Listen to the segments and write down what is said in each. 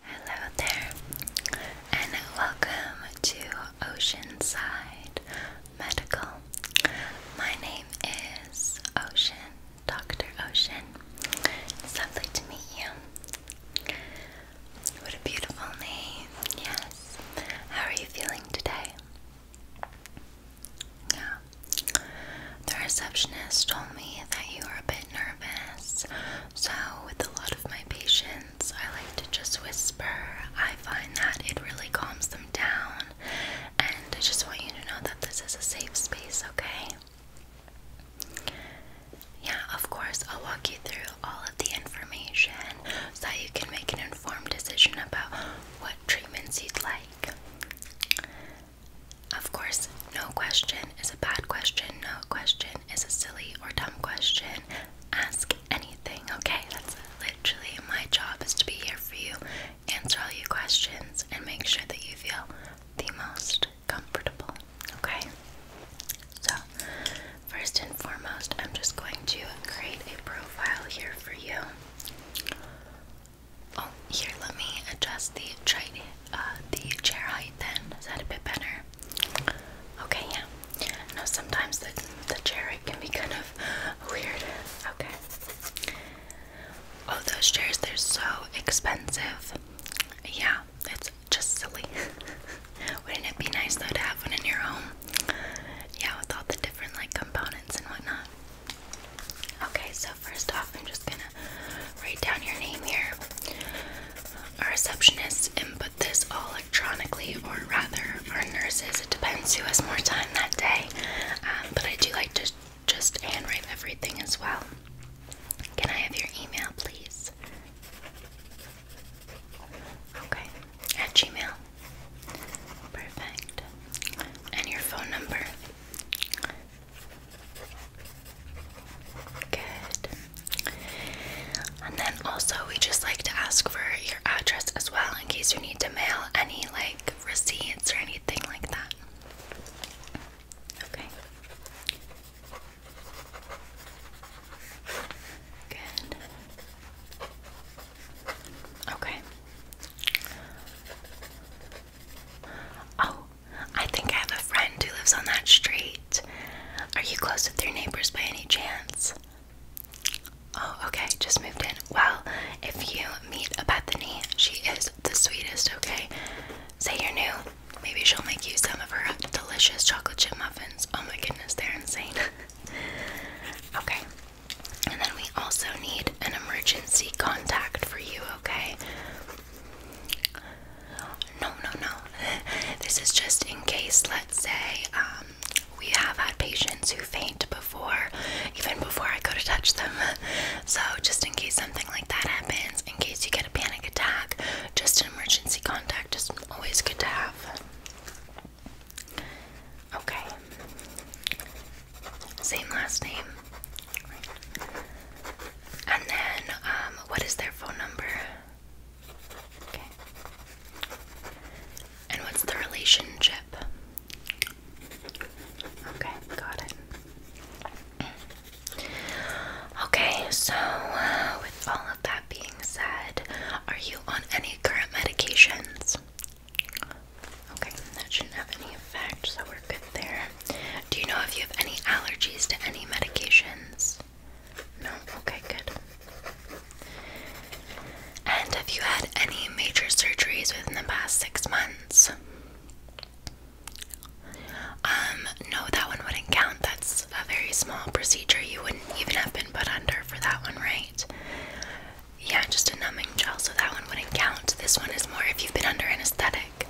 Hello there, and welcome to Oceanside Medical. My name is Ocean, Dr. Ocean. It's lovely to meet you. What a beautiful name, yes. How are you feeling today? Yeah. The receptionist told me that you were a bit bit nervous, so with a lot of my patients, I like to just whisper. I find that it really calms them down, and I just want you to know that this is a safe space, okay? Yeah, of course, I'll walk you through all of the information so that you can make an informed decision about what treatments you'd like. Of course, no question is a bad question, no question is a silly or dumb question. Ask anything, okay? That's literally my job is to be here for you, answer all your questions, and make sure that you feel the most comfortable, okay? So, first and foremost, I'm just going to create a profile here for you. Oh, here, let me adjust the chart uh, the chair height then? Is that a bit better? Okay, yeah. I sometimes the, the chair height can be kind of weird. Okay. Oh, those chairs, they're so expensive. Yeah, it's just silly. Wouldn't it be nice though to have one in your home? Yeah, with all the different like components and whatnot. Okay, so first off, I'm just gonna write down your name here. Our receptionists input this all electronically, or rather, our nurses. It depends who has more time that day. Um, but I do like to just handwrite everything as well. Can I have your email, please? Okay, at Gmail. Perfect. And your phone number? And then also, we just like to ask for your address as well in case you need to mail any like receipts or anything like that. Okay. Good. Okay. Oh, I think I have a friend who lives on that street. Are you close with your neighbors by any chance? Oh, okay, just moved in. Well, if you meet a Bethany, she is the sweetest, okay? Say you're new. Maybe she'll make you some of her delicious chocolate chip muffins. Oh my goodness, they're insane. okay. And then we also need an emergency contact for you, okay? No, no, no. This is just in case, let's say, um, we have had patients who faint before, even before I go to touch them. So, just in case something like that happens, in case you get a panic attack, just an emergency contact is always good to have. Okay. Same last name. And then, um, what is their phone number? And what's the relationship? Okay, got it. Okay, so uh, with all of that being said, are you on any current medications? Okay, that shouldn't have any effect, so we're good there. Do you know if you have any allergies to any medications? No? Okay, good. And have you had any major surgeries within the past six months? Um, no, that one wouldn't count. That's a very small procedure. You wouldn't even have been put under for that one, right? Yeah, just a numbing gel, so that one wouldn't count. This one is more if you've been under anesthetic.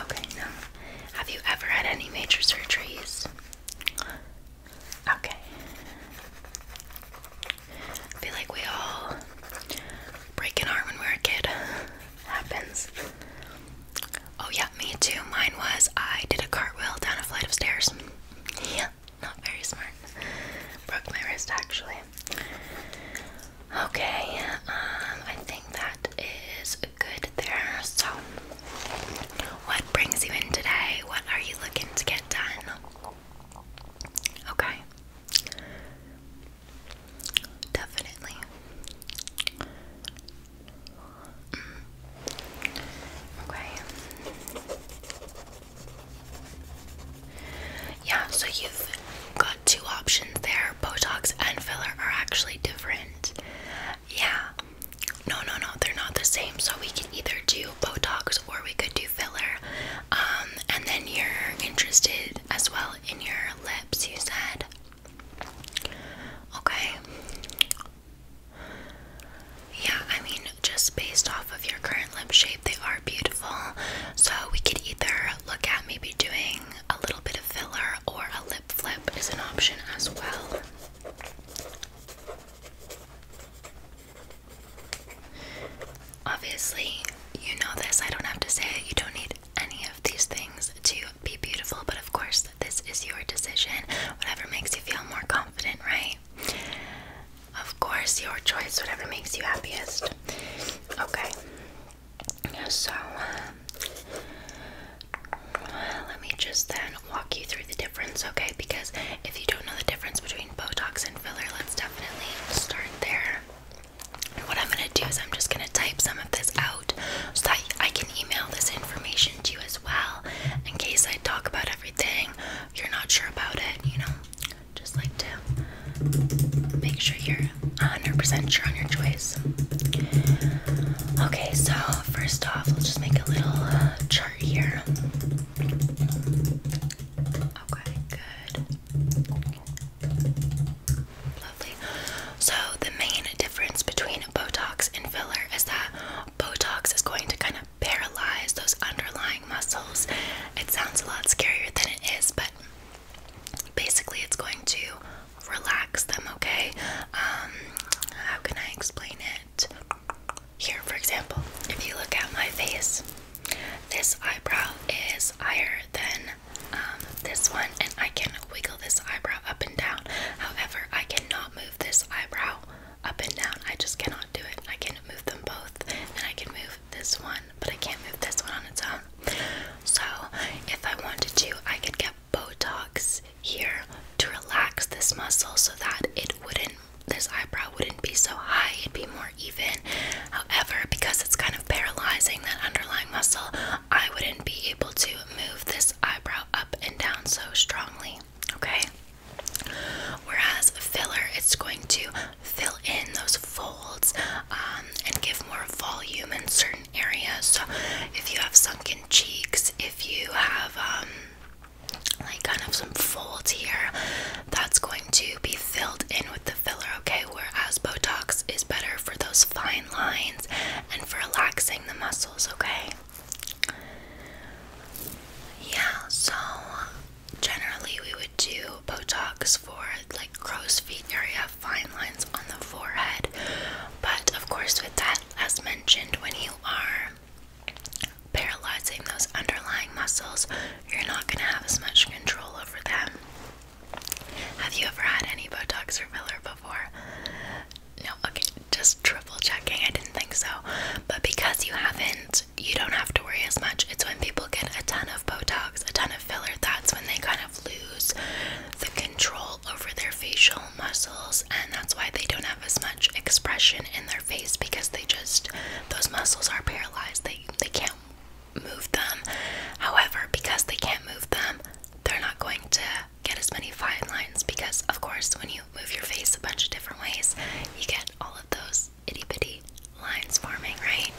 Okay, now, have you ever had any major surgeries? Okay. I feel like we all break an arm when we're a kid. Happens. Oh, yeah, me too. Mine was I did a cartwheel down a flight of stairs. Yeah, not very smart. Broke my wrist actually. Okay, um, I think that is good there. So, what brings you in today? What are you looking to get done? Okay. Definitely. Mm. Okay. Yeah, so you've got two options there. Botox and filler are actually different. Yeah. No, no, no, they're not the same. So we can either do Botox or we could do filler. Um, and then you're interested as well in your lips, you said. Okay. Yeah, I mean, just based off of your current lip shape, they are beautiful. So we could either look at maybe doing a little bit of filler or a lip flip is an option as well. Obviously, you know this. I don't have to say it. You don't need any of these things to be beautiful, but of course, this is your decision. Whatever makes you feel more confident, right? Of course, your choice, whatever makes you happiest. Okay. So, um, let me just then walk you through the difference, okay? Because if you don't know the difference between Botox and filler, let's definitely start there. And what I'm gonna do is I'm just gonna type some of this out so that I can email this information to you as well in case I talk about everything you're not sure about it, you know? Just like to make sure you're 100% sure on your choice. Okay, so first off, let's just make a little uh, chart here. Okay, good. Lovely. So, the main difference between Botox and filler is that Botox is going to kind of paralyze those underlying muscles. It sounds a lot scarier than it is, but basically, it's going to relax them, okay? Um, how can I explain it? Here, for example, if you look at my face, this eyebrow is higher than um, this one, and I can wiggle this eyebrow up and down. However, I cannot move this eyebrow up and down. I just cannot do it. I can move them both, and I can move this one, but I can't move this one on its own. So, if I wanted to, I could get Botox here to relax this muscle so that it wouldn't, this eyebrow wouldn't be so high, it'd be more even. However, because it's kind of paralyzing that underlying muscle, I wouldn't be able to move this eyebrow up and down so strongly, okay? Whereas filler, it's going to fill in those folds um, and give more volume and certain certain So if you have sunken cheeks, if you have um like kind of some folds here, that's going to be filled in with the filler, okay? Whereas Botox is better for those fine lines and for relaxing the muscles, okay? Yeah, so generally we would do Botox for like crow's feet area, fine lines on the forehead. But of course, with that, as mentioned, when he are paralyzing those underlying muscles, you're not going to have as much control over them. Have you ever had any Botox or filler before? No, okay, just triple checking. I didn't think so. But because you haven't, you don't have to worry as much. It's when people get a ton of Botox, a ton of filler, that's when they kind of lose the control over their facial muscles, and that's why they don't have as much expression in their face because they just those muscles are paralyzed. They they can't move them. However, because they can't move them, they're not going to get as many fine lines because of course when you move your face a bunch of different ways, you get all of those itty bitty lines forming, right?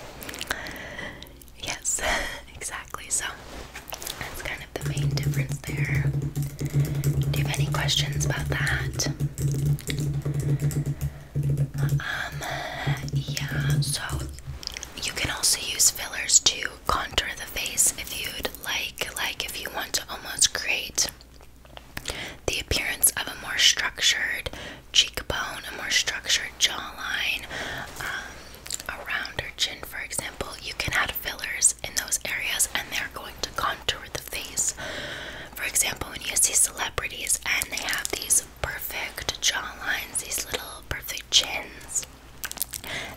Yes, exactly. So that's kind of the main difference there. Do you have any questions about that? Um, yeah, so you can also use fillers to contour the face if you'd like, like if you want to almost create the appearance of a more structured cheekbone, a more structured jawline, um, a rounder chin, for example. You can add fillers in those areas and they're going to contour the face. For example, when you see celebrities and they have these perfect jawlines, these little perfect chins,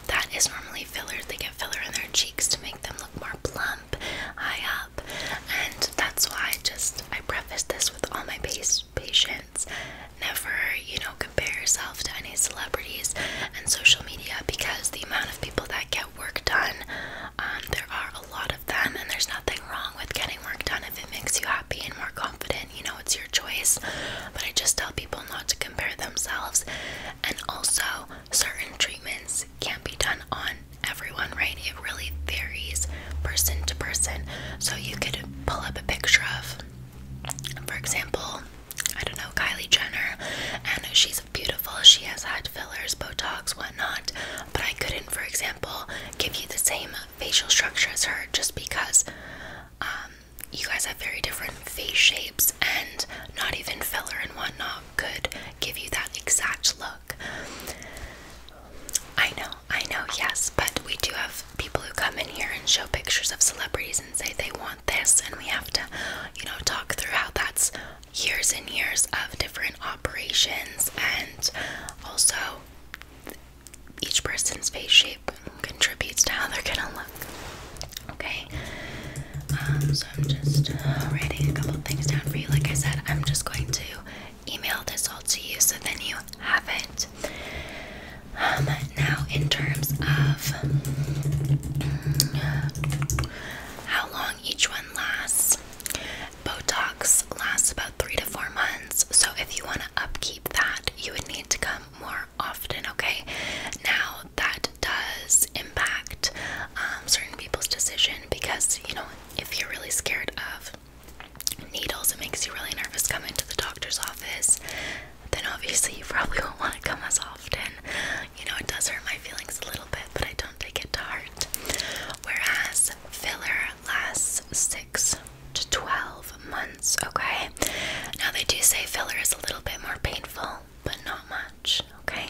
that is normally fillers. They get filler in their cheeks to make them look more plump, high up. And that's why I just I preface this with all my base patients. Never, you know, compare yourself to any celebrities and social media because the amount of people that get work done. Um, there are a lot of them, and there's nothing wrong with getting work done if it makes you happy and more confident. You know, it's your choice. But I just tell people not to compare themselves. And also, certain treatments can't be done on everyone, right? It really varies person to person. So you could pull up a picture of, for example, I don't know, Kylie Jenner, and she's beautiful. She has had fillers, Botox, whatnot, but I couldn't, for example, give you the same facial structure as her just because um, you guys have very different face shapes, and not even filler and whatnot could give you that exact look. I know, I know, yes, but we do have people who come in here and show pictures of celebrities and say they want this and we have to you know talk through how that's years and years of different operations and also each person's face shape contributes to how they're gonna look okay um, so i'm just uh, writing a couple things down for you like i said i'm just going to email this all to you so then you have it um, now in terms of mm, how long each one lasts. Botox lasts about three to four months, so if you want to upkeep that, you would need to come more often, okay? Now, that does impact um, certain people's decision because, you know, if you're really scared of needles, it makes you really nervous coming to the doctor's office, then obviously you probably won't want to come as often you know, it does hurt my feelings a little bit, but I don't take it to heart. Whereas filler lasts six to 12 months, okay? Now, they do say filler is a little bit more painful, but not much, okay?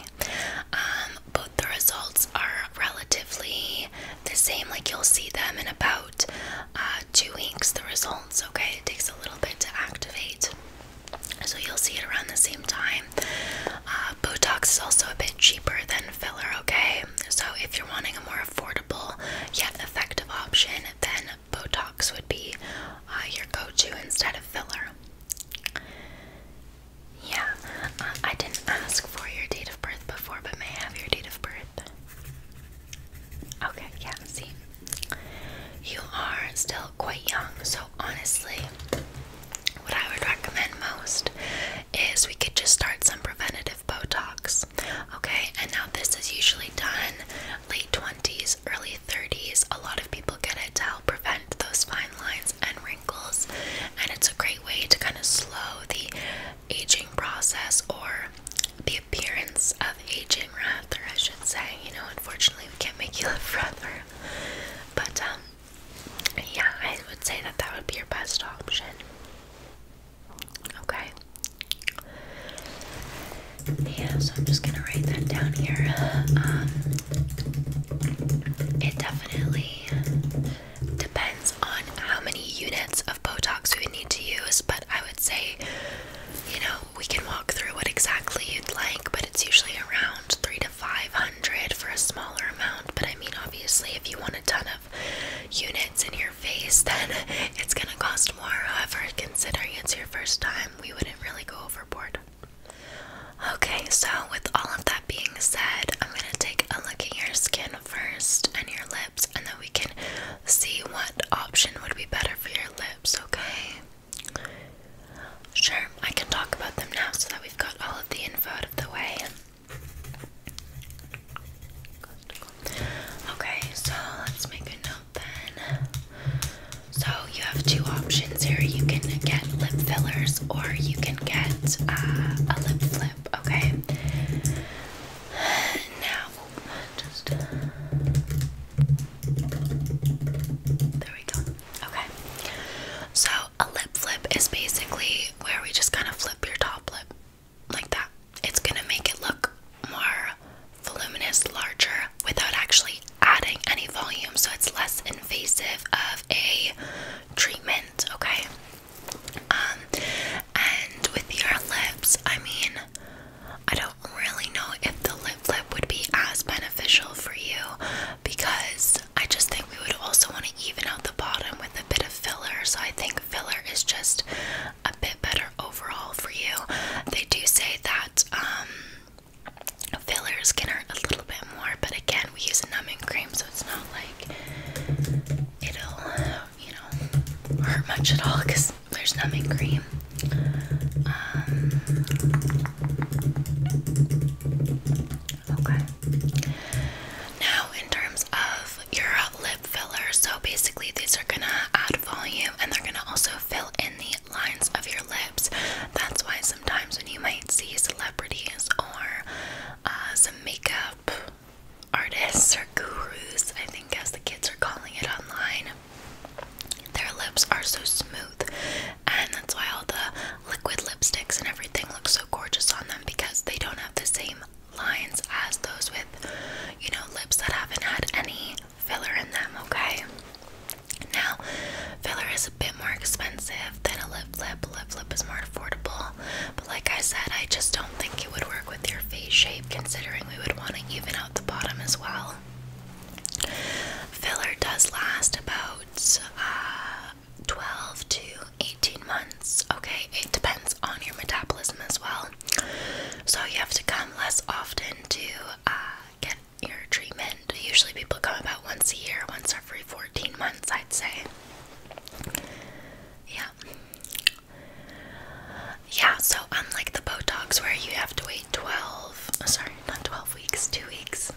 Um, but the results are relatively the same, like you'll see them in about uh, two weeks, the results, okay? It takes a little bit to activate so you'll see it around the same time. Uh, Botox is also a bit cheaper than filler, okay? So if you're wanting a more affordable yet effective option, then Botox would be uh, your go to instead of filler. Yeah, uh, I didn't ask for your date of birth before, but may I have your date of birth? Okay, yeah, see. You are still quite young, so honestly, what I would recommend most is we could just start some preventative Botox. Okay, and now this is usually done late 20s, early 30s. A lot of people get it to help prevent those fine lines and wrinkles, and it's a great way to kind of slow the aging process or the appearance of aging rather, I should say. You know, unfortunately, we can't make you live forever, but um, yeah, I would say that that would be your best option. Okay. Yeah, so I'm just gonna write that down here. Um, it definitely depends on how many units of Botox we would need to use, but I would say, you know, we can walk through what exactly you'd like, but it's usually around three 500 for a smaller amount, but I mean, obviously, if you want a ton of units in your face, then it's gonna cost more. However, considering it's your first time, we wouldn't really go overboard. Okay, so with all of that being said, I'm gonna take a look at your skin first and your lips, and then we can see what option would be better for your lips, okay? Sure, I can talk about them now so that we've got all of the info out of the way. Okay, so let's make a note then. So you have two options here. You can get lip fillers or you can get uh, a lip flip, okay? Now, just. There we go. Okay. So a lip flip is basically where we just kind of flip your top lip like that. It's going to make it look more voluminous, larger without actually adding any volume. So it's less invasive of a treatment, okay? Um, and with your lips, I mean, I don't really know if the lip flip would be as beneficial for you because I just think we would also want to even out the bottom with a bit of filler. So I think filler is just a bit better overall for you. They do say that um, fillers can hurt a little bit more, but again, we use a numbing cream, so it's not like it'll, you know, hurt much at all because there's numbing cream. Um, Okay. Now, in terms of your lip filler, so basically these are gonna add volume and they're gonna also fill in the lines of your lips. That's why sometimes when you might see celebrities or uh, some makeup artists or gurus, I think as the kids are calling it online, their lips are so smooth and that's why all the liquid lipsticks and everything look so gorgeous on them because they don't have the same lines as those with, you know, lips that haven't had any filler in them, okay? Now, filler is a bit more expensive than a lip lip. Lip lip is more affordable, but like I said, I just don't think it would work with your face shape considering we would want to even out the bottom as well. Filler does last about uh, 12 to 18 months. Okay, it depends on your metabolism as well. So you have to come less often to uh, get your treatment. Usually people come about once a year, once every 14 months, I'd say. Yeah. Yeah, so unlike the Botox where you have to wait 12, sorry, not 12 weeks, 2 weeks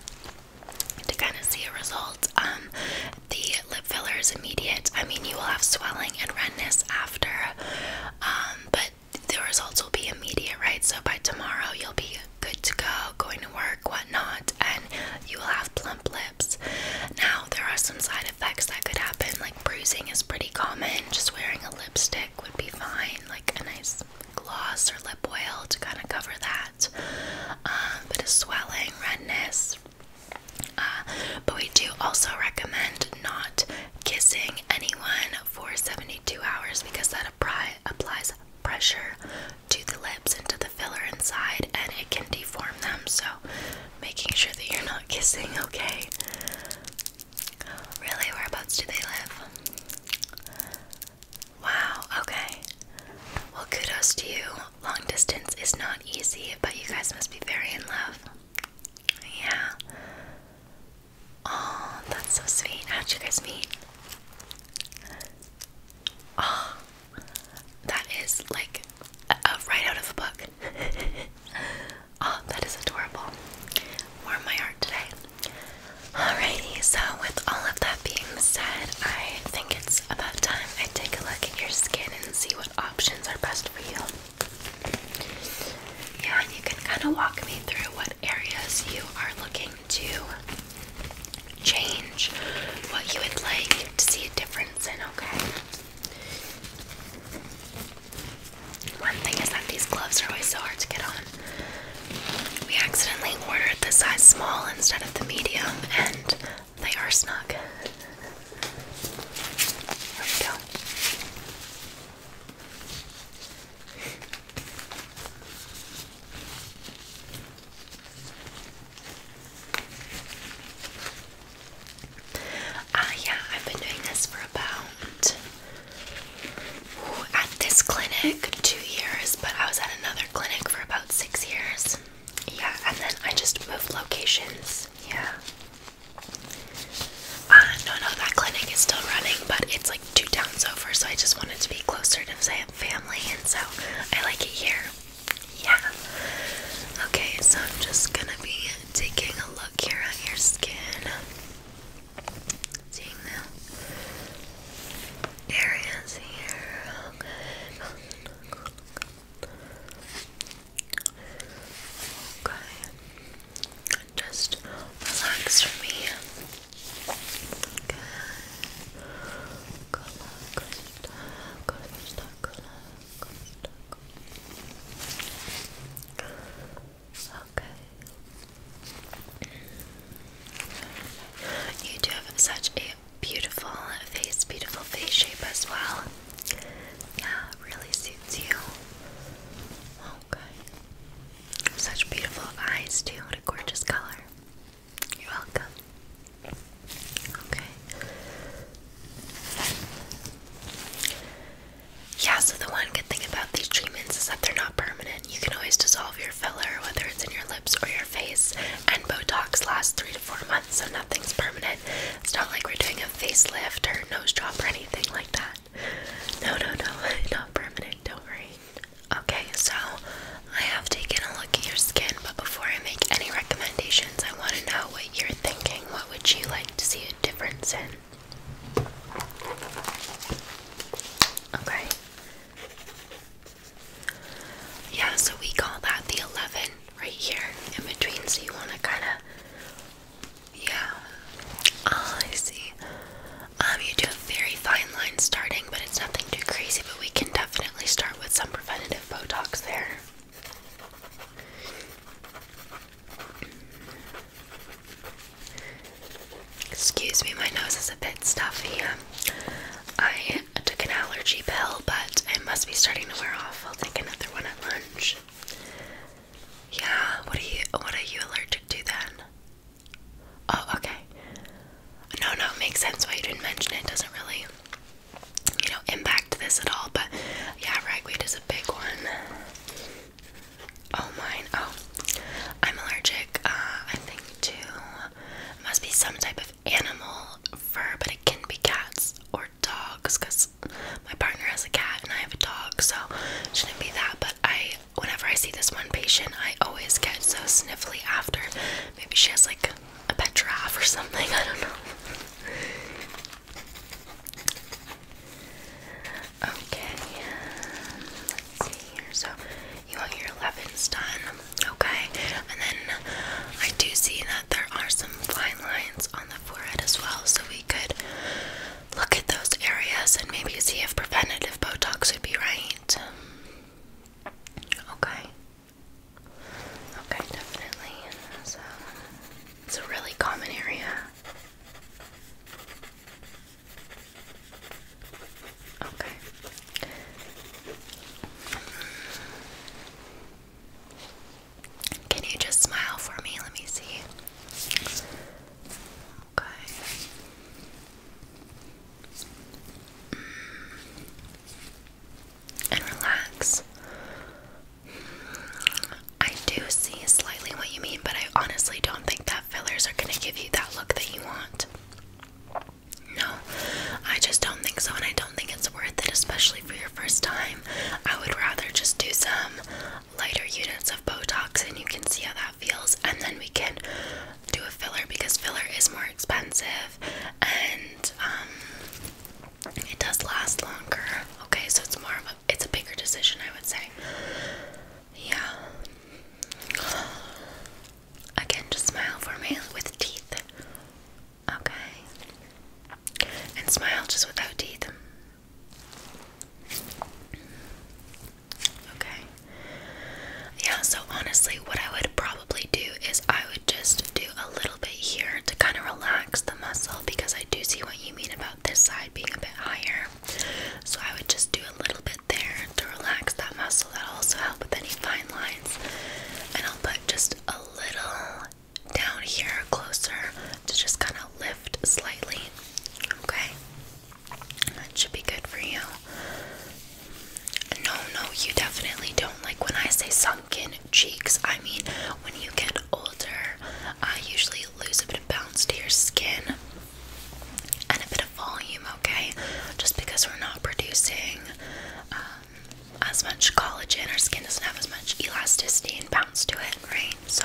to kind of see a result. Um, the lip filler is immediate. I mean, you will have swelling and redness after, um, but the results will be immediate, right? So by tomorrow, you'll be good to go, going to work, whatnot, and you will have plump lips. Now, there are some side effects that could happen, like bruising is pretty common. Just wearing a lipstick would be fine, like a nice gloss or lip oil to kind of cover that. Um, bit of swelling, redness. Uh, but we do also recommend not kissing anyone for 72 hours because that applies pressure to the lips and to the filler inside and it can deform them. So, making sure that you're not kissing, okay? Really, whereabouts do they live? Wow, okay. Well, kudos to you. Long distance is not easy, but you guys must be very in love. Yeah. Oh, that's so sweet. How'd you guys meet? Oh, that is like right out of a book. oh, that is adorable. Warm my heart today. Alrighty, so with all of that being said, I think it's about time I take a look at your skin and see what options are best for you. Yeah, and you can kind of walk me through what areas you are looking to change, what you would like to see a difference in, okay? One thing is that these gloves are always so hard to get on. We accidentally ordered the size small instead of the medium, and they are snug. There we go. Ah, yeah, I've been doing this for about at this clinic two years, but I was at another clinic for about about six years. Yeah, and then I just moved locations. Yeah. Uh, no, no, that clinic is still running, but it's like two towns over, so I just wanted to be closer to I family, and so I like it here. Yeah. Okay, so I'm just gonna be taking a look here at your skin. Seeing areas here. Okay. Just relax for me. Okay. Okay. You do have such a beautiful face, beautiful face shape as well. Yeah, really suits you. Okay. Such beautiful eyes too. What a gorgeous color. You're welcome. Okay. Yeah, so the one good thing about these treatments is that they're not permanent. You can always dissolve your filler, whether it's in your lips or your face. And Botox lasts three to four months, so nothing's permanent. It's not like we're doing a facelift or nose job or anything like that. No, no, no, not permanent, don't worry. Okay, so I have taken a look at your skin, but before I make any recommendations, I want to know what you're thinking. What would you like to see a difference in? Okay. Yeah, so we call that the 11 right here in between. So you want to kind of, yeah. Ah, I see. Um, you do a very fine line starting, but it's nothing too crazy. But we can definitely start with some preventative Botox there. Excuse me, my nose is a bit stuffy. I I took an allergy pill, but it must be starting to wear off. I'll take another one at lunch. Yeah, what are you what are you allergic to then? Oh, okay. No, no, makes sense why you didn't mention it. Doesn't really, you know, impact this at all. But yeah, ragweed is a big one. Oh, mine. Oh, I'm allergic. Uh, I think to it must be some type of animal fur, but it can be cats or dogs because my partner has a cat and I have a dog, so it shouldn't be that. But I, whenever I see this one patient, I always get so sniffly after. Maybe she has like a pet giraffe or something, I don't know. okay, let's see here. So, you want your 11s done okay? And then I do see that there are some fine lines on the forehead as well, so we could look at those areas and maybe see if preventative Botox would be right. Okay. Okay, definitely. So it's a really common area. Okay. Can you just smile for me? Let me see. Okay. Mm. And relax. I do see slightly what you mean, but I honestly don't think that fillers are going to give you that look that you want. No, I just don't think so, and I don't think it's worth it, especially for your first time. I would rather just do some lighter units of Botox, and you can see how that feels, and then we can do a filler because filler is more expensive and um, it does last longer. Okay, so it's more of a it's a bigger decision, I would say. Yeah. Again, just smile for me with teeth. Okay. And smile just without teeth. Okay. Yeah, so honestly, what I would probably do is I would just do a little bit here to kind of relax the muscle because I do see what you mean about this side being a bit higher. So I would just do a little bit there to relax that muscle. That'll also help with any fine lines, and I'll put just a little down here closer to just kind of lift slightly. Okay, that should be good for you. No, no, you definitely don't like when I say sunken cheeks. I mean, when you get older, I usually lose a bit of bounce to your skin and a bit of volume, okay? Just because we're not producing uh, as much collagen. Our skin doesn't have as much elasticity and bounce to it, right? So,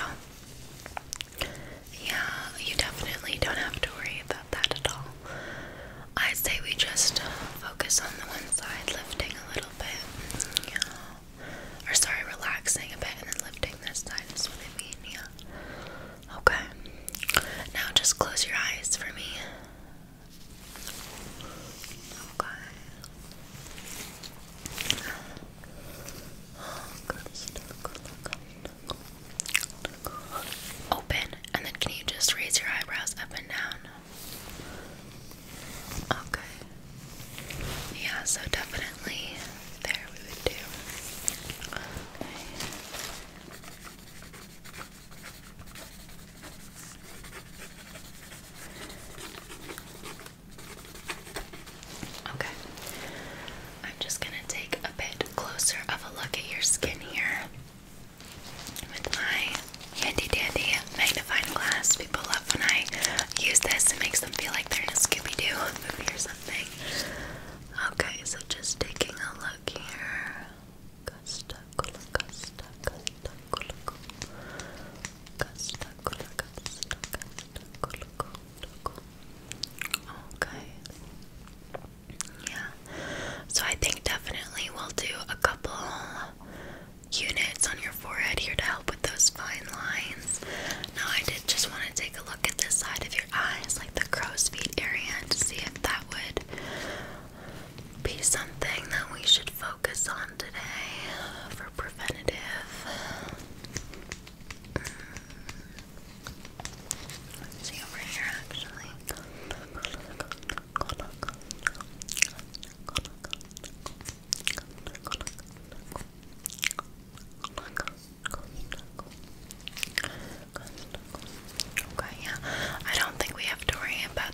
yeah, you definitely don't have to worry about that at all. I say we just uh, focus on the one side, lifting a little bit. Or sorry, relaxing a bit and then lifting this side is what I mean, yeah. Okay. Now just close your eyes for me. Okay. good stuff. Open, and then can you just raise your eyebrows up and down? Okay. Yeah, so definitely there we would do. Okay. I'm just going to take a bit closer of a look at your skin here with my handy dandy magnifying glass. People love when I use this, it makes them feel like they're in a Scooby Doo or something. Okay, so just taking a look here. Okay. Yeah. So I think definitely we'll do a couple units on your forehead here to help with those fine lines. Now I did just want to take a look at this side of your eyes, like the crow's feet area, to see if that would be something that we should focus on today for preventative. see over here actually. Okay, yeah. I don't think we have to worry about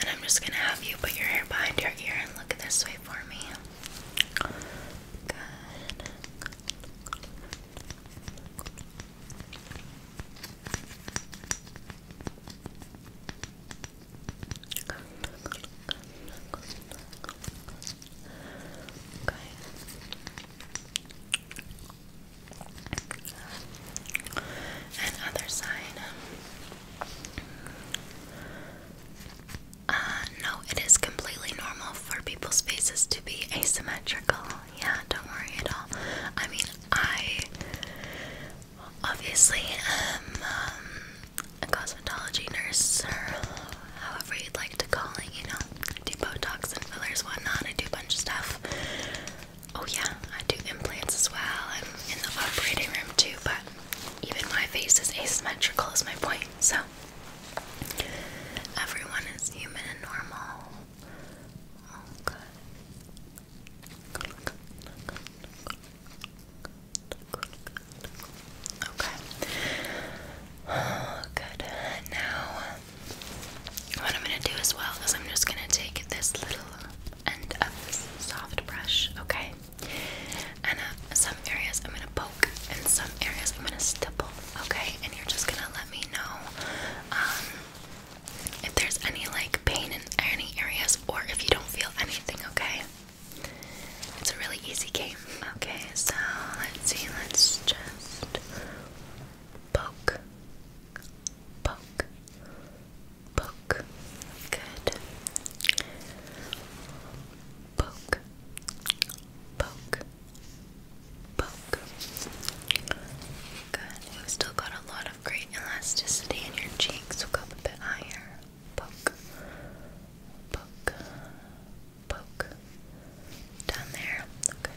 And I'm just gonna have you put your hair behind your ear and look this way for me. Good. Okay. And other side. Uh, no, it is completely normal for people's faces to be asymmetrical. Yeah, don't worry at all. I mean, I obviously am um, a cosmetology nurse, however you'd like to call it, you know, Botox and fillers, whatnot. I do a bunch of stuff. Oh yeah, I do implants as well. I'm in the operating room too, but even my face is asymmetrical is my point. So everyone is human and normal. Okay. Okay. Oh, good. Now, what I'm gonna do as well is I'm just gonna take this little and of this soft brush, okay? And uh, some areas I'm gonna poke, and some areas I'm gonna stipple, okay? And you're just gonna let me know um, if there's any like pain in any areas, or if you don't feel anything, okay? It's a really easy game. Okay, so let's see. Let's just poke, poke, poke. Good. Poke, poke, poke. Good. You've still got a lot of great elasticity in your cheeks. We'll go up a bit higher. Poke, poke, poke. Down there. Okay.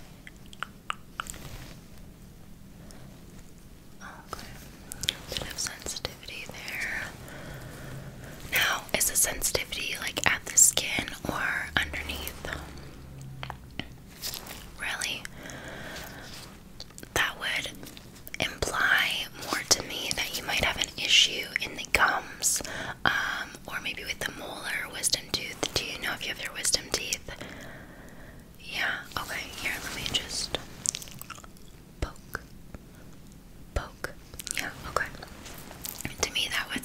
Okay. Bit of sensitivity there. Now, is the sensitivity like at the skin or underneath? Really? That would imply more to me that you might have an issue in the gums, um, or maybe with the molar, wisdom tooth. Do you know if you have your wisdom teeth? Yeah, okay, here, let me just poke. Poke. Yeah, okay. To me, that would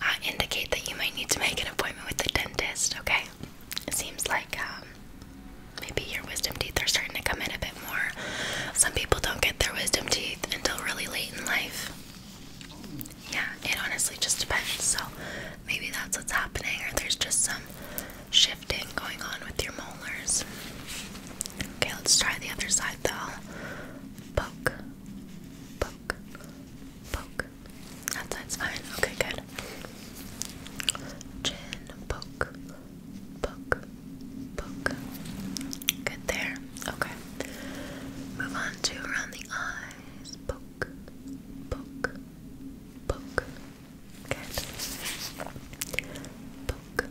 uh, indicate that you might need to make an appointment with the dentist, okay? It seems like um, maybe your wisdom teeth are starting to come in a bit more. Some people don't get their wisdom teeth until really late in life. Yeah, it honestly just depends. So maybe that's what's happening, or there's just some sh shifting going on with your molars. Okay, let's try the other side though. Poke, poke, poke. That side's fine. Okay, good. Chin, poke, poke, poke. Good there. Okay. Move on to around the eyes. Poke, poke, poke. Good. Poke,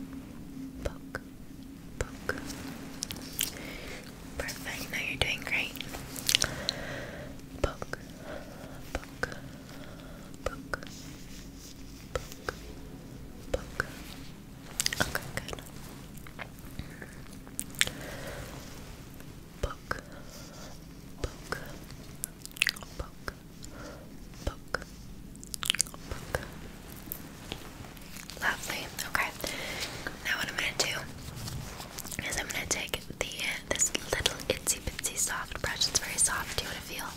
poke, poke. Perfect. Now you're doing great. Poke, poke, poke, poke, poke. Okay, good. Poke, poke, poke, Book. Okay. Now what I'm gonna do is I'm gonna take the this little itsy bitsy soft brush. It's very soft. Do you wanna feel?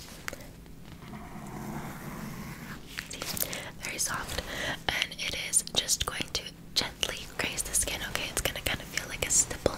Very soft. And it is just going to gently graze the skin. Okay, it's gonna kind of feel like a stipple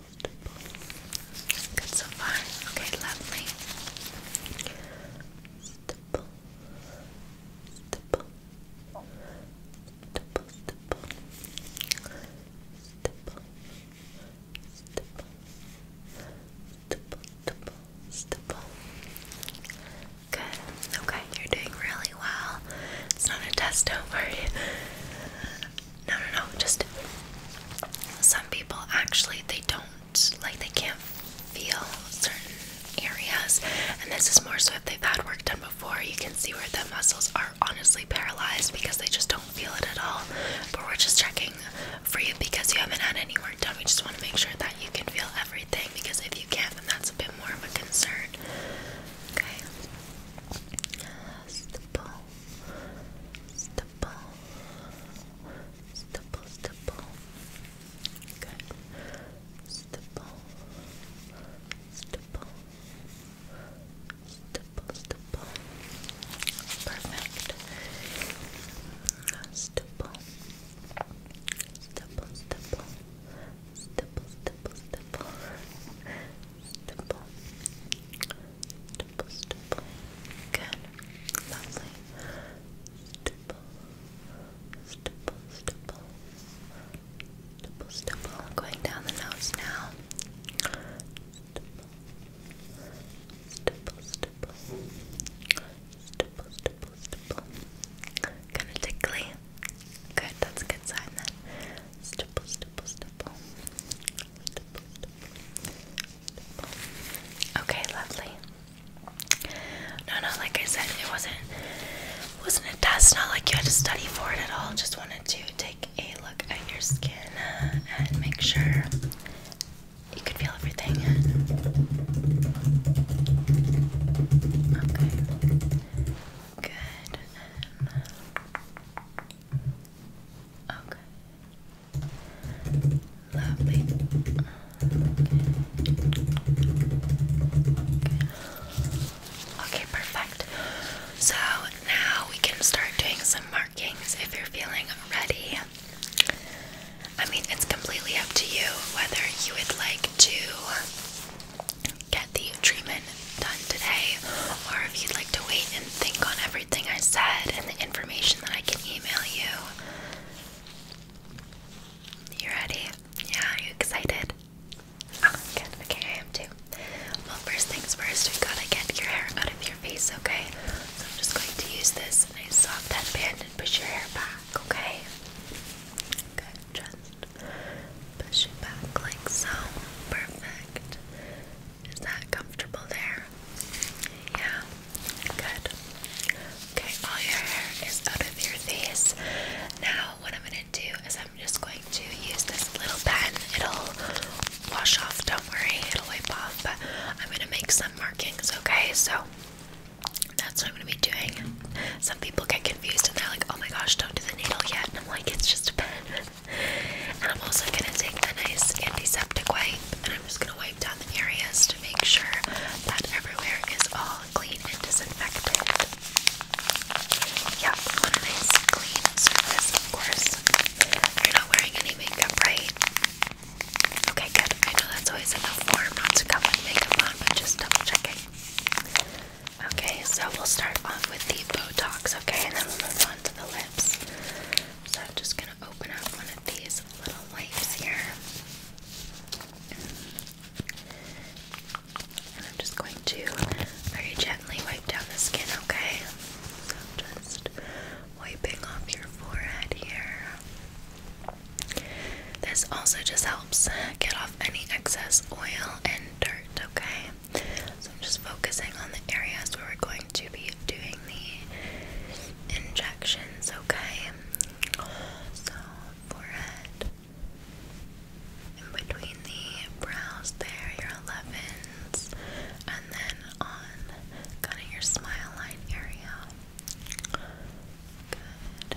pulse, Good so far. Okay, lovely. Good. Okay, you're doing really well. It's not a test over. No, no, no. Just some people actually they don't like they can't feel certain areas, and this is more so if they've had work done before. You can see where the muscles are honestly paralyzed because they just don't feel it at all. But we're just checking for you because you haven't had any work done. We just want to make sure that you can feel everything because if you can't, then that's a bit more of a concern. Okay. That's stipple, stipple, stipple. Good. Stipple, stipple, stipple, stipple. Perfect. Stipple, stipple, stipple, stipple, stipple, stipple, stipple. Stipple, Stipple, stipple. Good. Lovely. Stipple. Stipple, stipple. Stipple, stipple. Going down the nose now. Stipple. Stipple, stipple. Stipple, stipple, stipple. Kind of tickly. Good, that's a good sign then. Stipple, stipple, stipple. Stipple, stipple. Okay, lovely. No, no, like I said, it wasn't wasn't a test, not like you had to study for it at all. Just wanted to take a look at your skin uh, and make sure you could feel everything. Okay. Good. Um, okay okay, perfect. So now we can start doing some markings if you're feeling ready. I mean, it's completely up to you whether you would like to get the treatment done today or if you'd like to wait think on everything I said and the information that I can email you. You ready? Yeah, you excited? Oh, Okay, I am too. Well, first things first, we gotta get your hair out of your face, okay? So I'm just going to use this nice soft headband and push your hair back, okay? Good, just push it back like so. Perfect. Is that comfortable there? Yeah, good. Okay, all your hair is out of your face. Now, what I'm gonna do is I'm just going to use this little pen. It'll wash off, don't worry, it'll wipe off, but I'm gonna make some markings, okay? So that's what I'm gonna be doing. Some people get confused and they're like, oh my gosh, don't do the needle yet. And I'm like, it's just a pen. and I'm also gonna take a nice antiseptic wipe and I'm just gonna wipe down the areas to make sure that everywhere is all clean and disinfected. Yeah, want a nice clean surface, of course. You're not wearing any makeup, right? Okay, good. I know that's always enough form not to come with makeup on, but just double checking. Okay, so we'll start off with the Botox, okay, and then we'll move on to the lips. So I'm just gonna I'm just going to very gently wipe down the skin, okay? just wiping off your forehead here. This also just helps get off any excess oil and dirt, okay? So I'm just focusing on the areas where we're going to be doing the injections, okay? So, forehead. In between the brows there, your 11s, and then on kind of your smile line area. Good.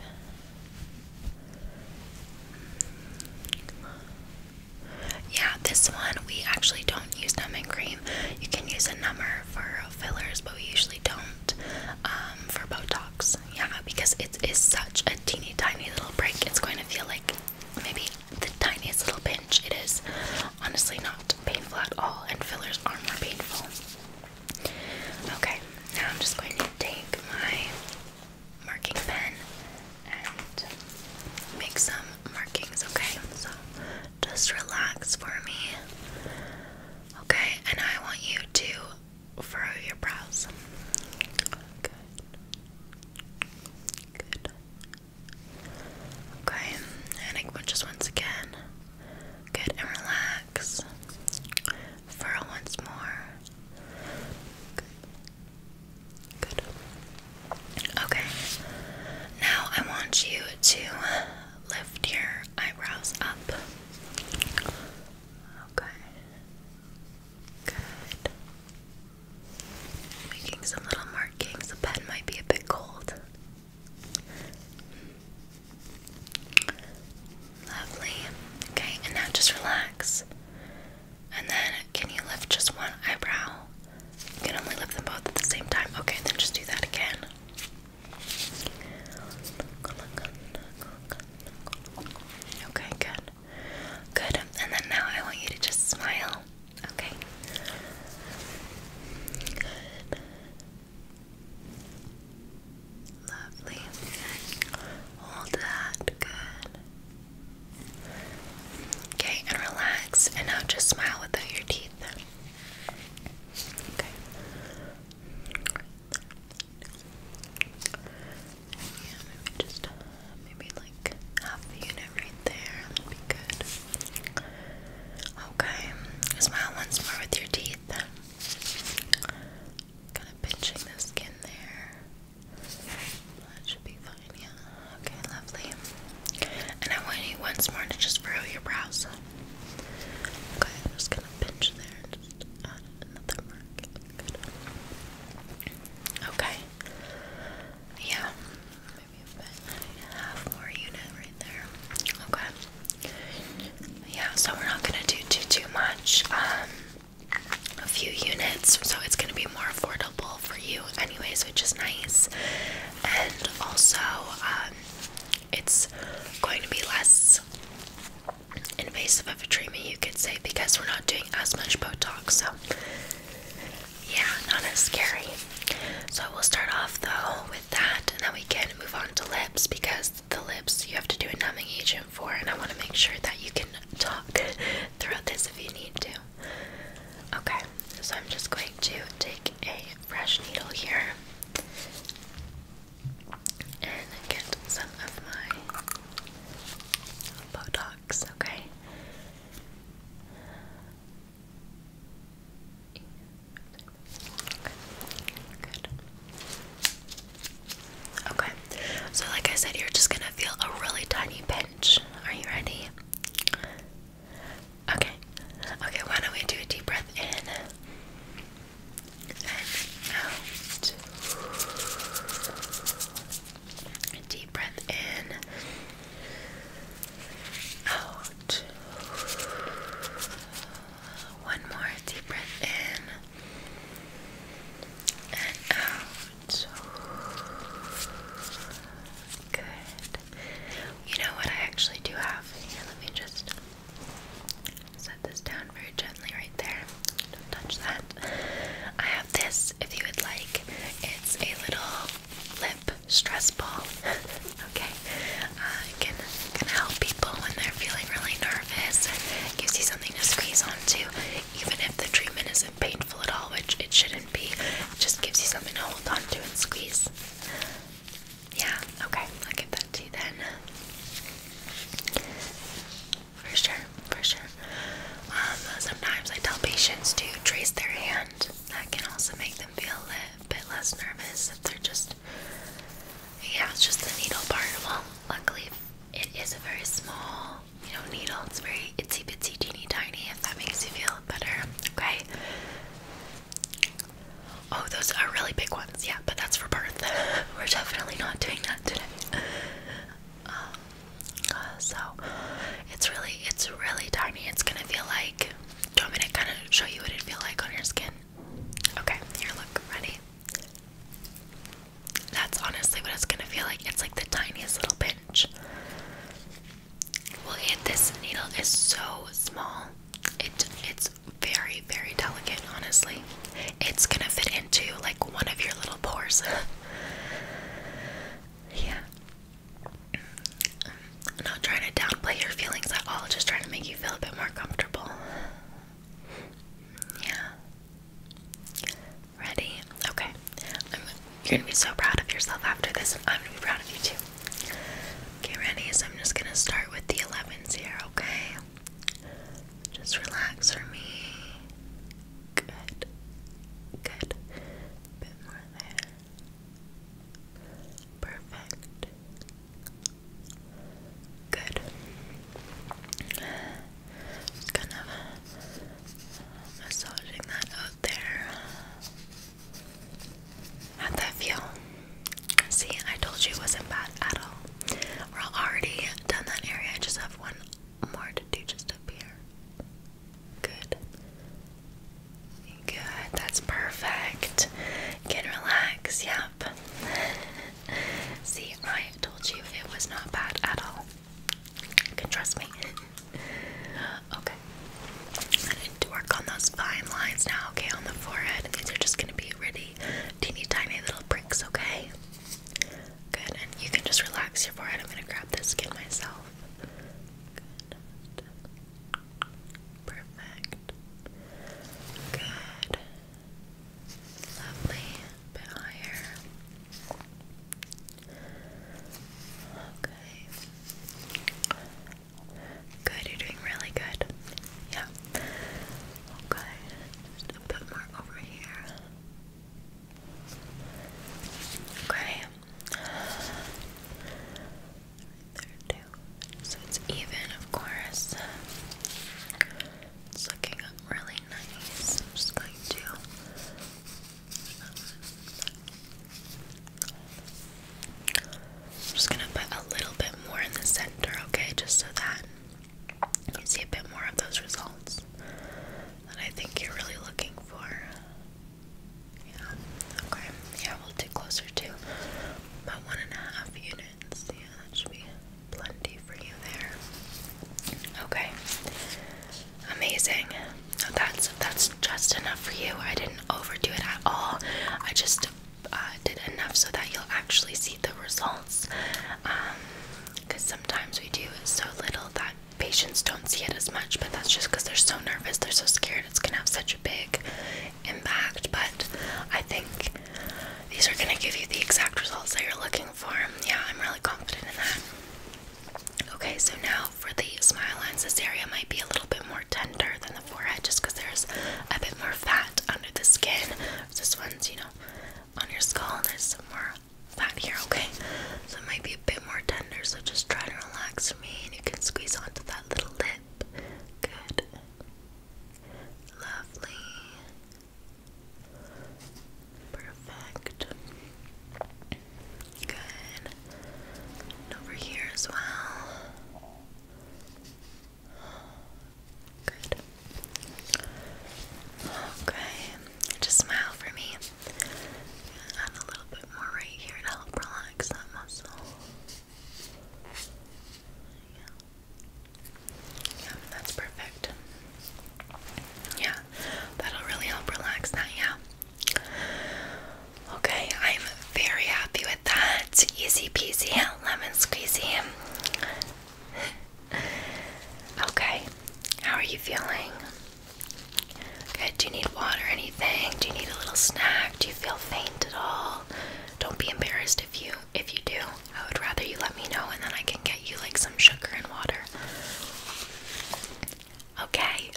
Yeah, this one we actually don't use numbing cream. You can use a number for fillers, but we usually don't um, for Botox. Yeah, because it is such a teeny tiny little break. It's going to feel like maybe the tiniest little pinch. It is honestly not painful at all, and fillers are more painful. Okay, now I'm just going to take my marking pen and make some markings, okay? So just relax for me. Okay, and I want you to furrow your brows. Good. Good. Okay, and I, just once again. Good, and relax. Furrow once more. Good. Okay. Now I want you to lift your eyebrows up. Okay. Good. Making some little markings. The pen might be a bit cold. Lovely. Okay, and now just relax. And then, can you lift just one eyebrow? You can only lift them both at the same time. Okay, then just do that again. Okay, good. Good. And then now I want you to just smile. Okay. Lovely. Hold that. Good. Okay, and relax. And now just smile without your teeth. Okay. Yeah, maybe just uh, maybe like half the unit right there. would be good. Okay. Smile once more with your teeth. Kind of pinching the skin there. That should be fine, yeah. Okay, lovely. And I want you once more to just furrow your brows. Okay, I'm just gonna pinch there and just add another mark. Okay. Yeah. Maybe a bit. more unit right there. Okay. Yeah, so we're not gonna do too too much. Um a few units, so it's gonna be more affordable for you anyways, which is nice. And also, uh, it's going to be less invasive of a treatment, you could say, because we're not doing as much Botox. So, yeah, not as scary. So, we'll start off though with that, and then we can move on to lips because the lips you have to do a numbing agent for, and I want to make sure that you can talk throughout this if you need to. Okay, so I'm just going to take a fresh needle here and get some of my Botox, okay? Good. Good. Okay, so like I said, you're just gonna feel a really tiny pinch. Are you ready? Okay. Okay, why don't we do a deep breath in and out? deep breath in, out. One more deep breath in and out. Good. You know what? I actually do have. let me just set this down very gently right there. Don't touch that. I have this if you would like. It's a little lip stress ball. okay, uh, can can help people when they're feeling really nervous. It gives you something to squeeze onto, even if the treatment isn't painful at all, which it shouldn't be. just gives you something to hold on to and squeeze. Yeah, okay, I'll give that to you then. For sure, for sure. Um, sometimes I tell patients to trace their hand. That can also make them feel a bit less nervous if they're just, yeah, it's just the needle part. Well, luckily, it is a very small, you know, needle. It's very itsy bitsy teeny tiny if that makes you feel better. Okay. Oh, those are really big ones. Yeah, but that's for birth. We're definitely not doing that today. Um, uh, so it's really, it's really tiny. It's gonna feel like. Do you want to kind of show you what it feel like on your skin? Okay, here, look, ready. That's honestly what it's gonna feel like. It's like the tiniest little pinch. Well, it, this needle is so small. It it's very, very delicate, honestly. It's gonna fit into like one of your little pores. yeah. not trying to downplay your feelings at all, just trying to make you feel a bit more comfortable. Yeah. Ready? Okay. you're gonna be so proud of yourself after this, and I'm gonna be proud of you too. Okay, ready? So I'm just gonna start with the 11s here, okay? Just relax for me. Good. Good. Bit more there. Perfect. Good. Just kind of massaging that out there. How'd that feel? See, I told you it wasn't bad at all. We're already done that area. I just have one more to do just up here. Good. Good. That's perfect. Get relaxed. Yep. See, I told you it was not bad at all. can trust me. okay. I need to work on those fine lines now, okay, on the forehead. These are just gonna be really teeny tiny little pricks, okay? Good, and you can just relax your forehead. I'm gonna grab this skin myself. Perfect. Good. Lovely. bit higher. Okay. Good, you're doing really good. Yeah. Okay, just more over here. Okay. there too. So it's even, of course. It's looking really nice. I'm just going to. I'm just gonna put a little bit more in the center, okay, just so that you see a bit more of those results that I think you're really looking for. Yeah, okay, yeah, we'll do closer to about one and a half units. Yeah, that should be plenty for you there. Okay, amazing. So that's that's just enough for you. I didn't overdo it at all. I just uh, did enough so that you'll actually see the results. Because um, sometimes we do so little that patients don't see it as much, but that's just because they're so nervous, they're so scared it's going to have such a big impact. But I think these are going to give you the exact results that you're looking for. Yeah, I'm really confident in that. Okay, so now for the smile lines, this area might be a little bit more tender than the forehead just because there's a bit more fat under the skin. This one's, you know, on your skull and there's some more fat here, okay? So it might be a bit more tender, so just try to relax for me and you can squeeze onto that little lip. Good. Lovely. Perfect. Good. And over here as well. Good. Okay, just smile for me. Add a little bit more right here to help relax that muscle. Yeah, yeah that's perfect. Yeah, that'll really help relax that, yeah. Okay, I'm very happy with that. Easy peasy, lemon squeezy. okay, how are you feeling? Good. Do you need water or anything? Do you need a little snack? Do you feel faint at all? Don't be embarrassed if you if you do. I would rather you let me know and then I can get you like some sugar and water. Okay.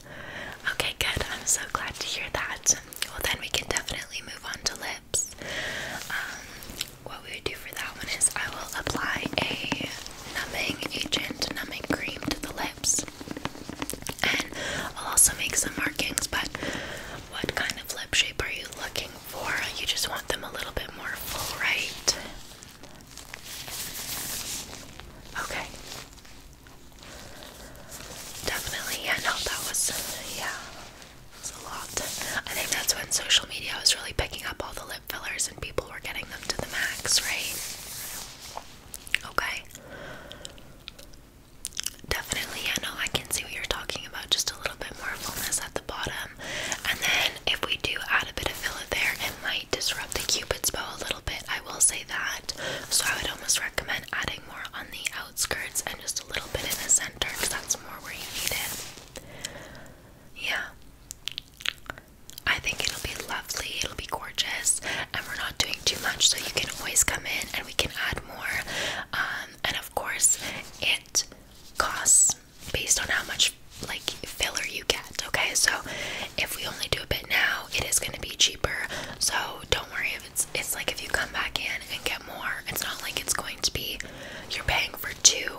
Okay, good. I'm so glad to hear that. Well, then we can definitely move on to lip. Um, what we would do for that one is I will apply a numbing agent, numbing cream to the lips, and I'll also make some markings. But what kind of lip shape are you looking for? You just want them a little bit more full, right? Okay. Definitely, yeah, no, that was, yeah, it's a lot. I think that's when social media was really picking up all the lip fillers and people were getting them to the max, right? Okay. Definitely, I know I can see what you're talking about. Just a little bit more fullness at the bottom. And then if we do add a bit of filler there, it might disrupt the cupid's bow a little bit. I will say that. So I would almost recommend adding more on the Skirts and just a little bit in the center because that's more where you need it. Yeah. I think it'll be lovely, it'll be gorgeous, and we're not doing too much, so you can always come in and we can add more. Um, and of course, it costs based on how much like filler you get, okay? So if we only do a bit now, it is going to be cheaper, so don't worry it's it's like if you come back in and get more, it's not like it's going to be you're paying for two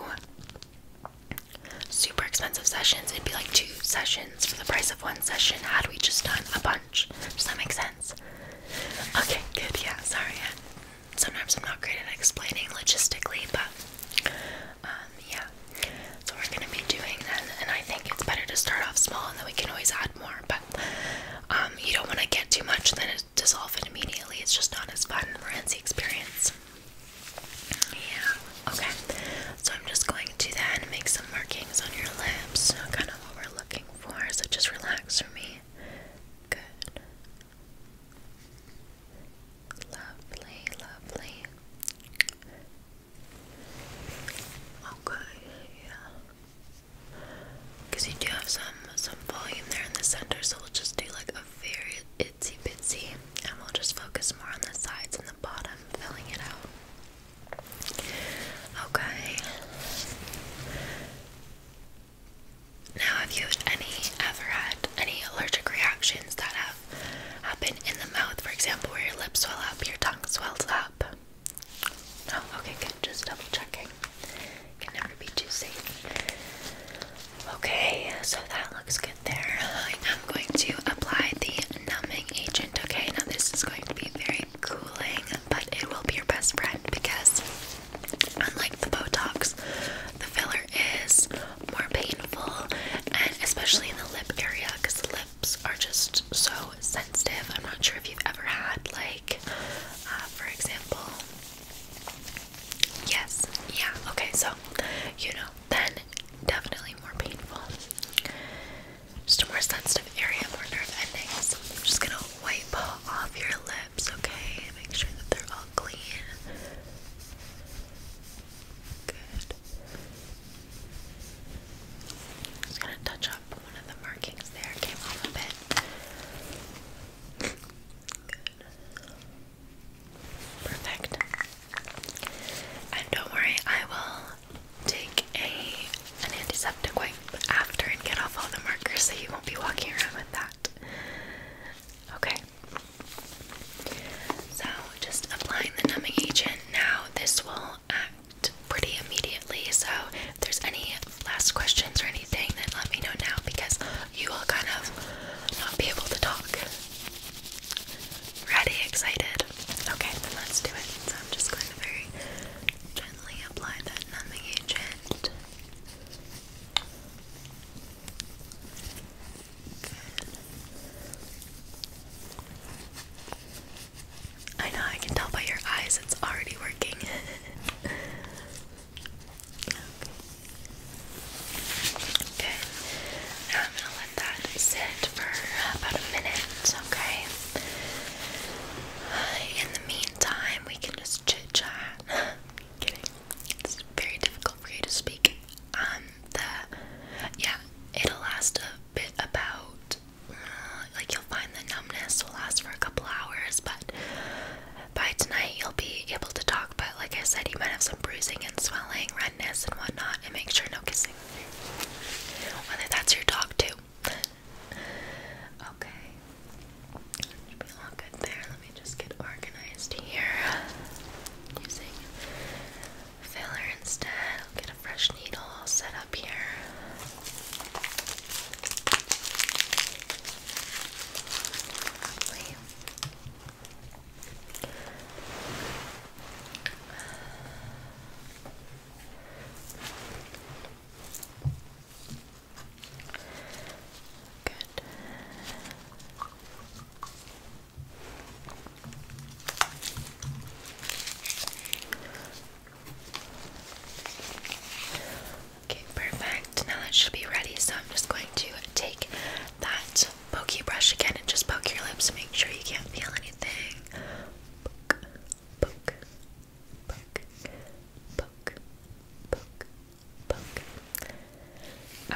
super expensive sessions. It'd be like two sessions for the price of one session had we just done a bunch. Does that make sense? Okay, good. Yeah, sorry. Sometimes I'm not great at explaining logistically, but um yeah. So we're gonna be doing then and I think it's better to start off small and then we can always add more, but um you don't want to get too much then dissolve it immediately. It's just not as fun for Nancy experience. Yeah, okay. So I'm just going to then make some markings on your lips. So uh, Kind of what we're looking for. So just relax for me. Good. Lovely, lovely. Okay, yeah. Because you do have some some volume there in the center, so we'll just do like a very itsy bitsy, and we'll just focus more on the sides and the bottom, filling it out. Okay. Now, have you any ever had any allergic reactions that have happened in the mouth? For example, where your lips swell up, your tongue swells up. No, okay, good. Just double checking. Can never be too safe. Okay, so that looks good there. I'm going to apply the numbing agent. Okay, now this is going to be very cooling, but it will be your best friend because, unlike the Botox, the filler is more painful, and especially in the lip area because the lips are just so sensitive. I'm not sure if you've ever had, like, uh, for example, Yes, yeah, okay, so you know, then definitely more painful. Just a more sensitive area, more nerve endings. I'm just gonna wipe off your lips, okay? Make sure that they're all clean. Good. Just gonna touch up one of the markings there, came off a bit. Perfect. And don't worry, I will take a an antiseptic wipe after and get off all the markers so you won't be walking around with that. Okay. So just applying the numbing agent now. This will act pretty immediately. So if there's any last questions or anything, then let me know now because you will kind of not be able to talk. Ready? Excited? Okay, then let's do it. So I'm just going to very gently apply that numbing agent. I know, I can tell by your eyes it's already working. Okay. Now I'm gonna let that sit for about a minute, okay? In the meantime, we can just chit chat. It's very difficult for you to speak. Um, the yeah, it'll last a bit about uh, like you'll find the numbness will last for a couple hours, but by tonight you'll be able to talk, but like I said, you might have some bruising and swelling, redness, and whatnot, and make sure no kissing. Whether that's your dog, too. okay. Should be all good there. Let me just get organized here. Using filler instead. get a fresh needle all set up here. Lovely. Good. Okay, perfect. Now that should be ready, so I'm just going to take that pokey brush again and just poke your lips, make sure you can't feel anything. Poke, poke, poke, poke, poke,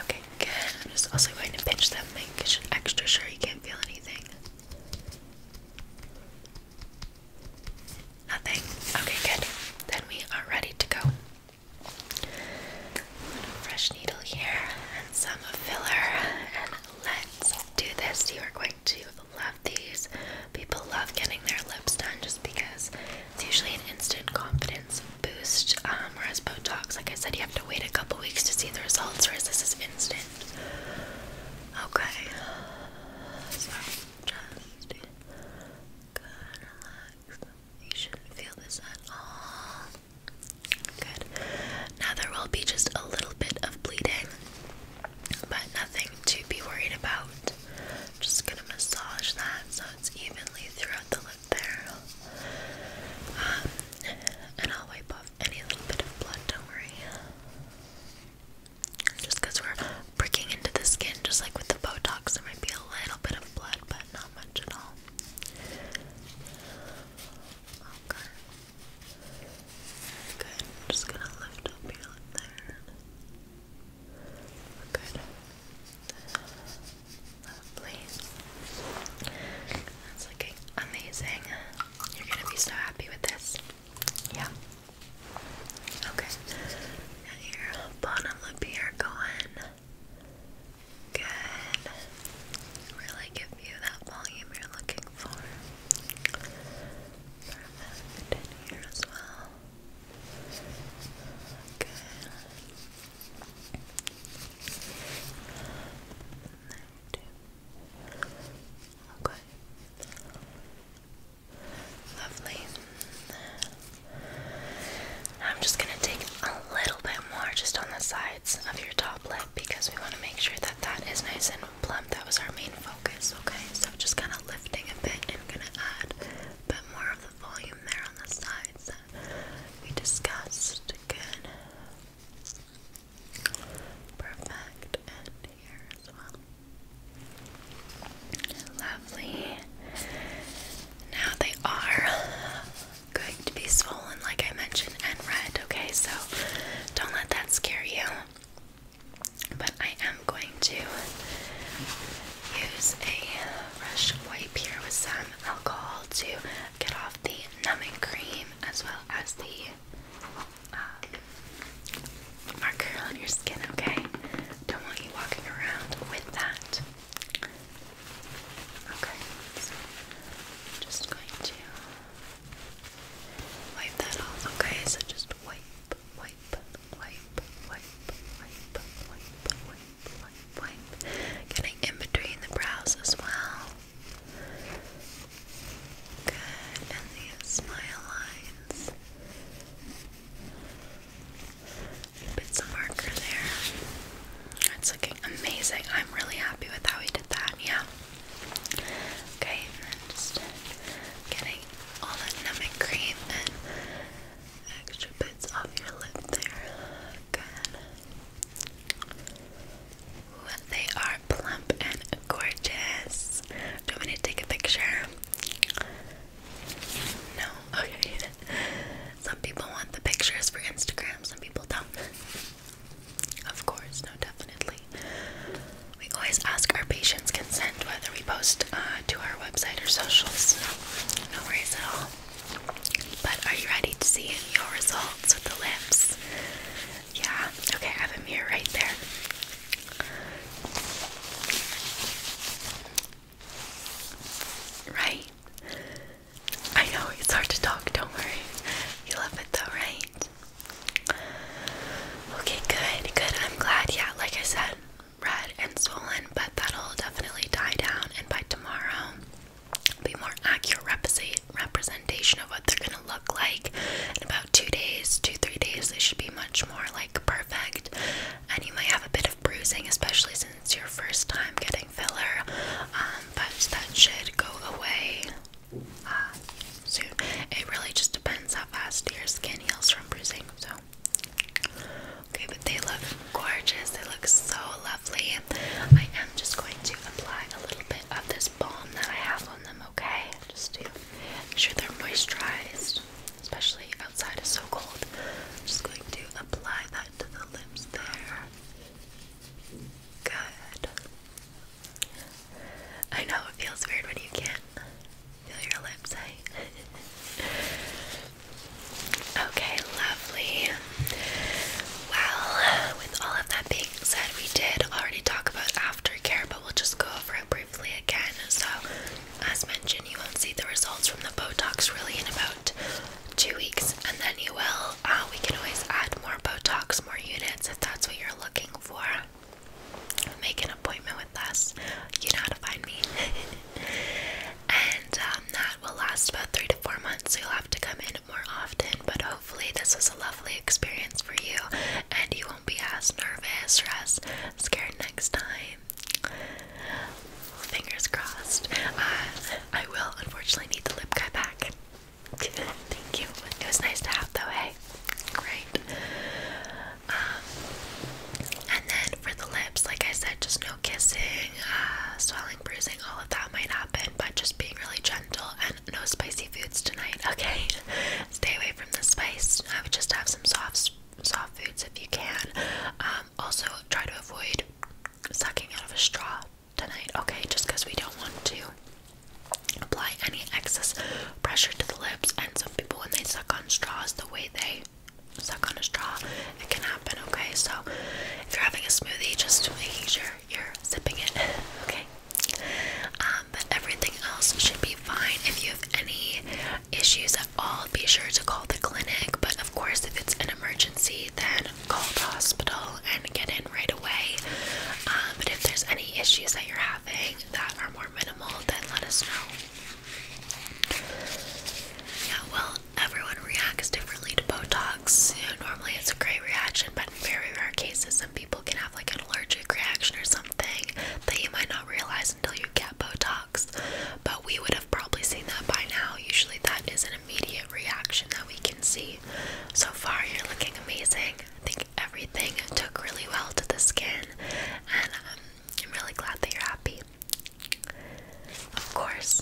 Okay, good. I'm just also going to pinch them, make extra sure you can't feel anything. Nothing. Okay, good. Then we are ready to go fresh needle here and some filler. And let's do this. You are going to love these. People love getting their lips done just because it's usually an instant confidence boost. whereas um, Botox, like I said, you have to wait a couple weeks to see the results, whereas this is instant. Okay. So just good. Relax. You shouldn't feel this at all. Good. Now there will be just a little bit of bleeding, but nothing to be worried about. just gonna massage that so it's evenly throughout the lip there. Um, and I'll wipe off any little bit of blood, don't worry. Just we're pricking into the skin, just like with the Botox. There might be a little bit of blood, but not much at all. Okay. Good. just gonna lift up your there. Good. Lovely. That's looking amazing. You're gonna be so happy with this. Yeah. Okay. here bottom lip here going. Good. Really give you that volume you're looking for. Perfect in here as well. Good. There too. Okay. Lovely. I'm just going to take a little bit more just on the sides of your top lip because we want to make sure that that is nice and plump. That was our main focus, okay? So just kind of lifting a bit and going to add a bit more of the volume there on the sides that we discussed. Good. Perfect. And here as well. Lovely. Now they are going to be swollen, like I mentioned, and red, okay? So don't let that scare you. But I am going to use a brush wipe here with some alcohol to get off the numbing cream as well as the um, marker on your skin, okay? Don't want you walking around with that. Okay, so I'm just going to wipe that off. Okay, so just wipe, wipe, wipe, wipe, wipe, wipe, wipe, wipe, wipe. Getting in between the brows as well. Good, and the smile lines. Bits of marker there. It's looking amazing. I'm really happy with how we did that. Yeah. Okay, just getting all that numbing cream and extra bits off your lip there. Good. Ooh, they are plump and gorgeous. Do you want me to take a picture? No? Okay. some people want the pictures for Instagram, some people don't. of course, no, definitely. We always ask our patients' consent whether we post uh, to our website or socials. No worries at all. But are you ready to see your results with the lips? Yeah, okay, I have a mirror right there. Right? I know it's hard to talk, don't worry. You love it though, right? Okay, good, good. I'm glad. Yeah, like I said, red and swollen, but that'll definitely die down, and by tomorrow, be more accurate representation of what they're gonna look like. In about two days, two, three days, they should be much more like perfect and you may have a bit of bruising, especially since it's your first time getting filler. Um, but that should go away uh, soon. It really just depends how fast your skin heals from bruising. So, okay, but they look gorgeous. They look so lovely. I am just going to apply a little bit of this balm that I have on them. Okay, just to make sure they're moisturized especially outside is so cold. just going to apply that to the lips there. Good. I know it feels weird when you can't feel your lips, eh? okay, lovely. Well, with all of that being said, we did already talk about aftercare, but we'll just go over it briefly again. So, as mentioned, you won't see the results from the Botox really in about two weeks, and then you will. Uh, we can always add more Botox, more units if that's what you're looking for. Make an appointment with us. You know how to find me. and um, that will last about three to four months, so you'll have to come in more often. But hopefully, this was a lovely experience for you, and you won't be as nervous or as scared next time. Fingers crossed. Uh, I will unfortunately need the lip guy back. Thank you. It was nice to have though, hey? Great. Um, and then for the lips, like I said, just no kissing, uh, swelling, bruising, all of that might happen, but just being really gentle and no spicy foods tonight, okay? Stay away from the spice. I would just have some soft, soft foods if you can. Um, also, try to avoid sucking out of a straw tonight, okay? Just because we don't want to apply any excess pressure to the lips. And some people, when they suck on straws, the way they suck on a straw, it can happen, okay? So if you're having a smoothie, just making sure you're sipping it, okay? Um, but everything else should be fine. If you have any issues at all, be sure to call the clinic. But of course, if it's an emergency, emergency, then call the hospital and get in right away. Um, but if there's any issues that you're having that are more minimal, then let us know. Yeah, well, everyone reacts differently to Botox. You know, normally it's a great reaction, but in very rare cases, some people can have like an allergic reaction or something that you might not realize until you get Botox but we would have probably seen that by now. Usually, that is an immediate reaction that we can see. So far, you're looking amazing. I think everything took really well to the skin, and um, I'm really glad that you're happy. Of course.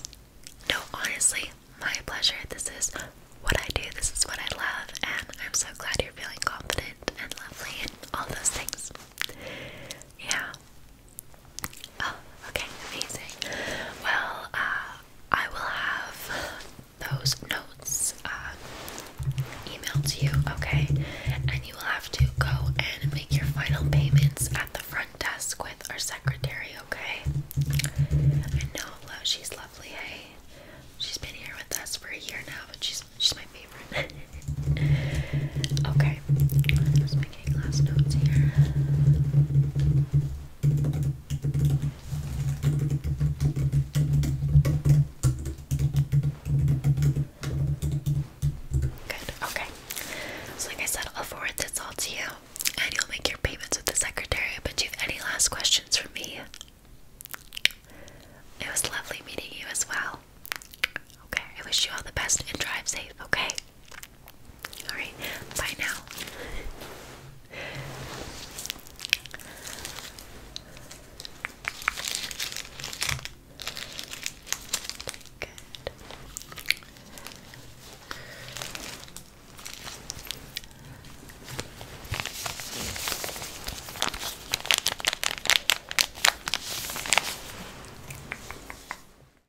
No, honestly, my pleasure. This is what I do, this is what I love, and I'm so glad you're feeling confident and lovely and all those things. Yeah, Oh, okay, amazing. Well, uh, I will have those notes uh, emailed to you, okay? And you will have to go and make your final payments at the front desk with our secretary, okay? I know she's lovely, hey? She's been here with us for a year now, but she's she's my favorite. okay making last notes here. Good, okay. So, like I said, I'll forward this all to you and you'll make your payments with the secretary. But do you have any last questions for me? It was lovely meeting you as well. Okay, I wish you all the best and drive safe, okay? Alright, bye now. Good.